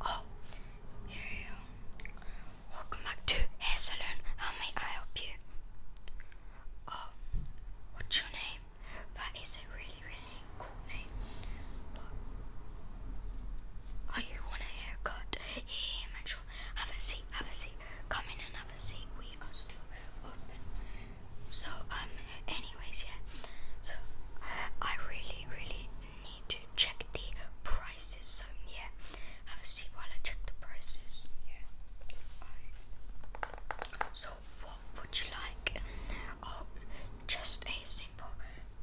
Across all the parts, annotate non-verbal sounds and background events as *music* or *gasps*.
Oh, here you Welcome back to Hair Salon. How may I help you? Oh, what's your name? That is a really, really cool name. Oh, you want a haircut? Here, here, Metro. Have a seat, have a seat. Come in and have a seat. We are still open. So, um, anyways, yeah. So, I really, really need to check the prices. So, yeah. Have a seat while I check the prices. Yeah. So, what would you like? Oh, just a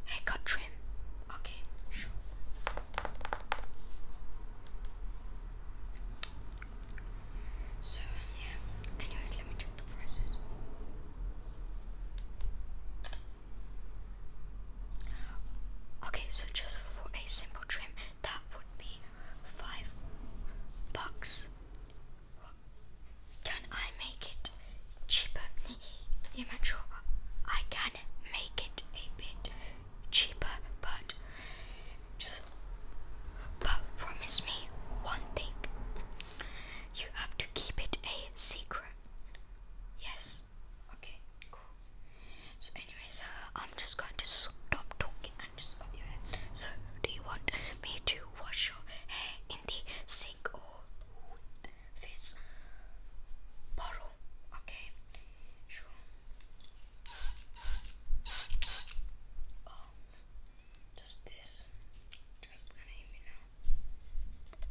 haircut trim. Okay, sure. So um, yeah. Anyways, let me check the prices. Okay, so just for a simple trim, that would be five bucks. Can I make it cheaper. I'm sure I can make it a bit cheaper, but just but promise me one thing. You have to keep it a secret. Yes. Okay. Cool. So, anyways, uh, I'm just going to stop talking and just comb your hair. So, do you want me to wash your hair in the sink or face borrow okay sure um, just this just gonna hit me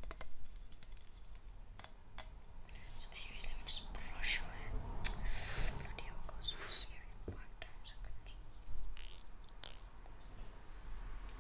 anyways let me just brush away bloody hell five times okay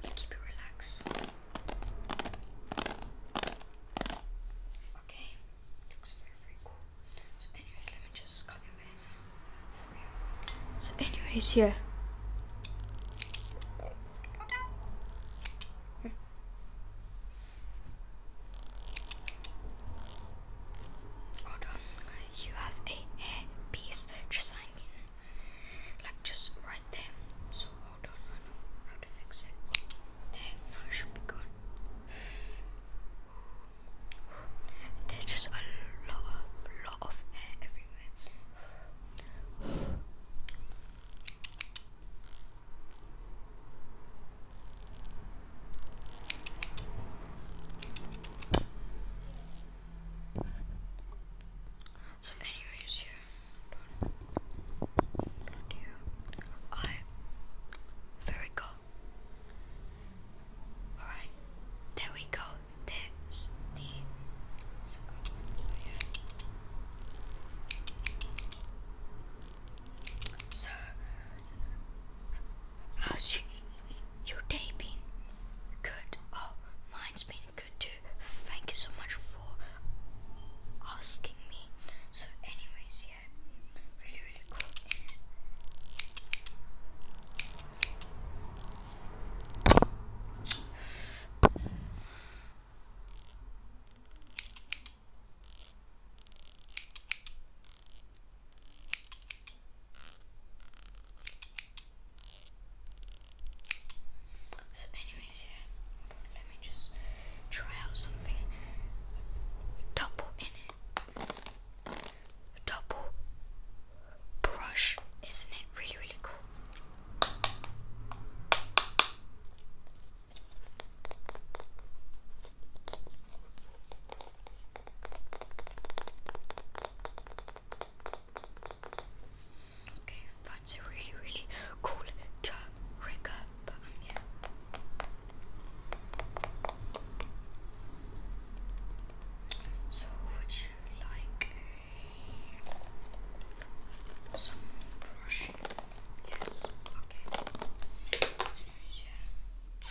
Just keep it relaxed. Okay, looks very very cool. So, anyways, let me just copy it for you. So, anyways, yeah. Hmm. Hold on, you have a hairpiece designed like just right there. So hold on, I know how to fix it. There, now it should be gone. There's just a lot of lot of hair everywhere. So, anyways, yeah, bloody hell. I very go. All right, there we go. There's the So, how's you? Your day been good? Oh, mine's been good too. Thank you so much for asking me. So, anyways, yeah, really, really cool. So, anyways, yeah, let me just try out something. Double in it. Double brush. Isn't it really, really cool? Okay, that's a really, really cool trigger button, um, yeah. So, would you like some brushing? Yes, okay. Anyways, yeah.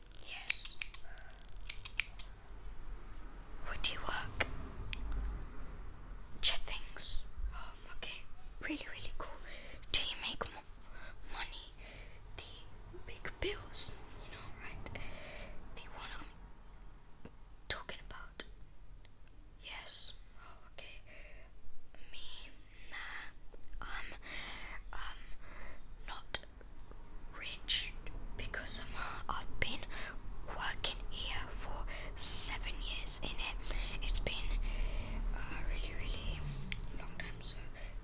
Yes. Where do you work? Check things. Um, okay. Really, really cool. Do you make mo money? The big bills, you know, right? The one I'm talking about. Yes. Oh, okay. Me nah, um, um, not rich because um, I've been working here for seven years in it. It's been a uh, really, really long time, so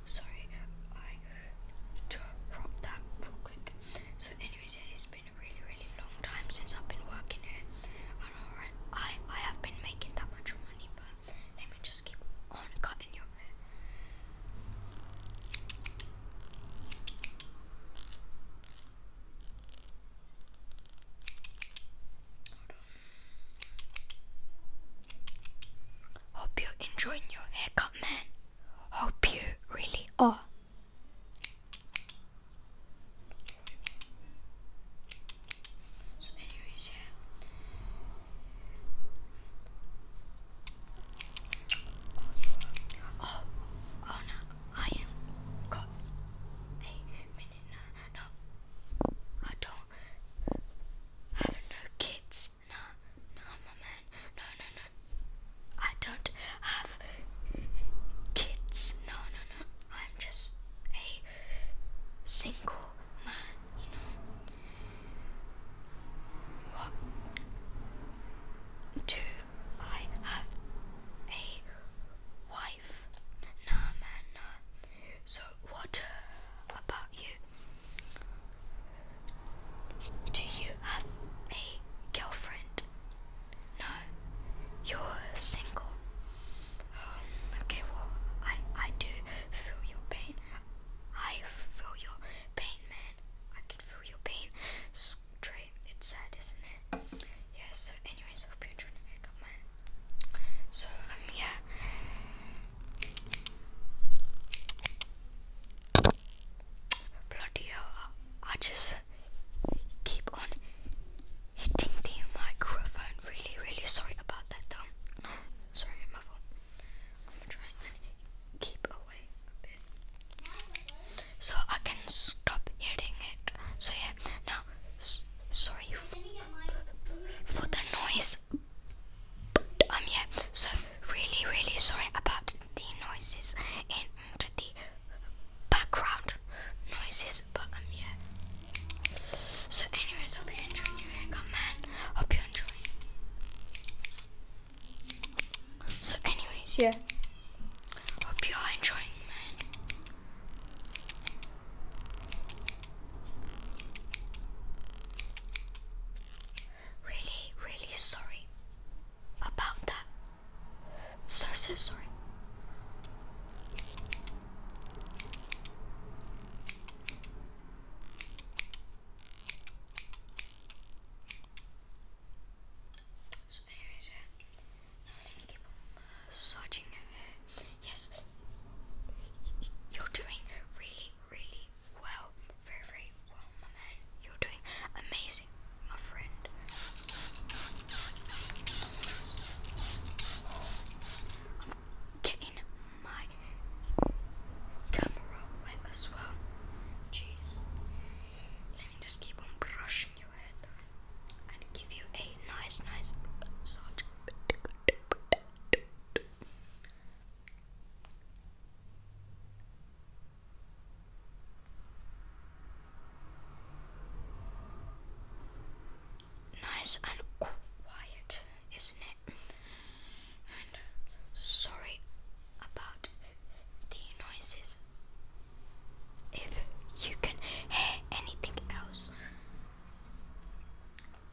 sorry I dropped that real quick. So, anyways, it's been a really, really long time since I've been working here. I know, I, I have been making that much money, but let me just keep on cutting your hair. Hope you're enjoying your haircut, man. Hope you really are oh, oh no, I am got a minute No, I don't have no kids. No, no, my man. No, no, no. I don't have kids. No, no, no. I'm just a single man you know, what do I have a wife? Nah, man, nah. So, what about you? Do you have a girlfriend? No, you're single. Um, okay, well, I I do feel your pain. I feel your pain, man. I can feel your pain. It's sad, isn't it? Yeah. So, anyways, hope you're trying to man. So, um, yeah. Bloody hell! I just keep on hitting the microphone. Really, really sorry about that, though. *gasps* sorry, my fault. I'm gonna keep away so I can stop hitting it. So, yeah, now, sorry for, the noise. Um, yeah, so really, really sorry about the noises and the background noises, but um, yeah. So anyways, hope you enjoyed your hair man. Hope you enjoyed. So anyways, yeah. Hope you are enjoying man. Really, really sorry about that. So so sorry. So anyways, yeah. Now I'm to keep uh, searching Yes, you're doing really, really well. Very, very well, my man. You're doing amazing, my friend. I'm getting my camera wet as well. Jeez. Let me just keep on brushing your hair and give you a nice, nice massage nice and quiet, isn't it? sorry about the noises. If you can hear anything else.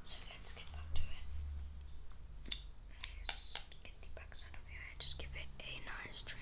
So let's get back to it. let get the back side of your hair, just give it a nice trim.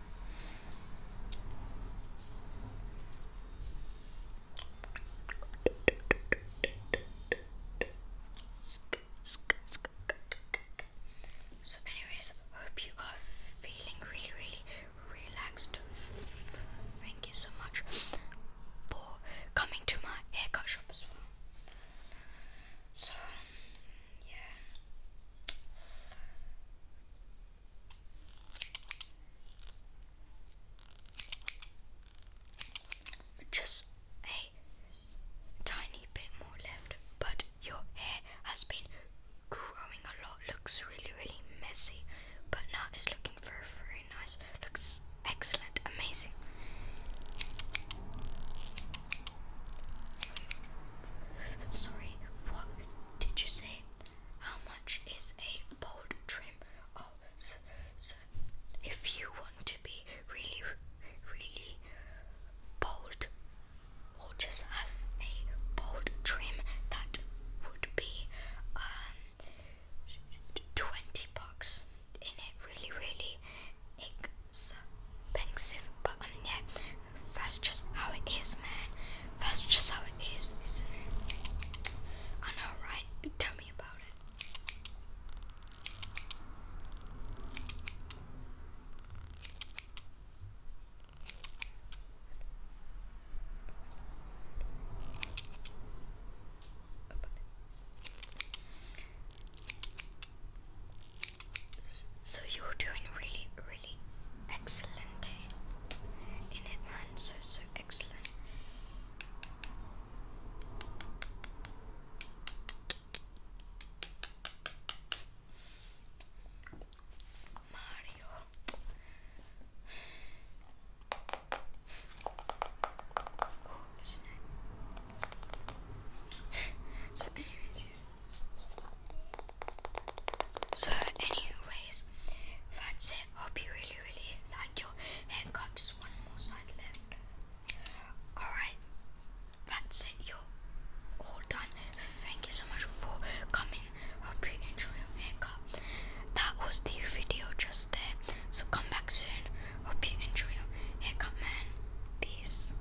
So, anyways, hope you are feeling really, really relaxed. Thank you so much for coming to my haircut shop as well. So, yeah. Just a tiny bit more left, but your hair has been growing a lot. Looks really, really messy, but now it's looking very, very nice. Looks excellent, amazing. Sorry, did you say how much is a bold trim? Oh, so, so if you want to be really, really bold, or just have a bold trim, that would be um, 20 bucks in it. Really, really expensive, but um, yeah, that's just how it is, man. That's just how it is, isn't it? I know, right? Tell me about it. So you're doing really, really excellent in it, man. So, so excellent. Mario. *laughs* so anyways, so, anyways, that's it. Hope you really, really like your haircut. Just one more side left. Alright, that's it. You're all done. Thank you so much for coming. Hope you enjoy your haircut. That was the video just there. So, come back soon. Hope you enjoy your haircut, man. Peace.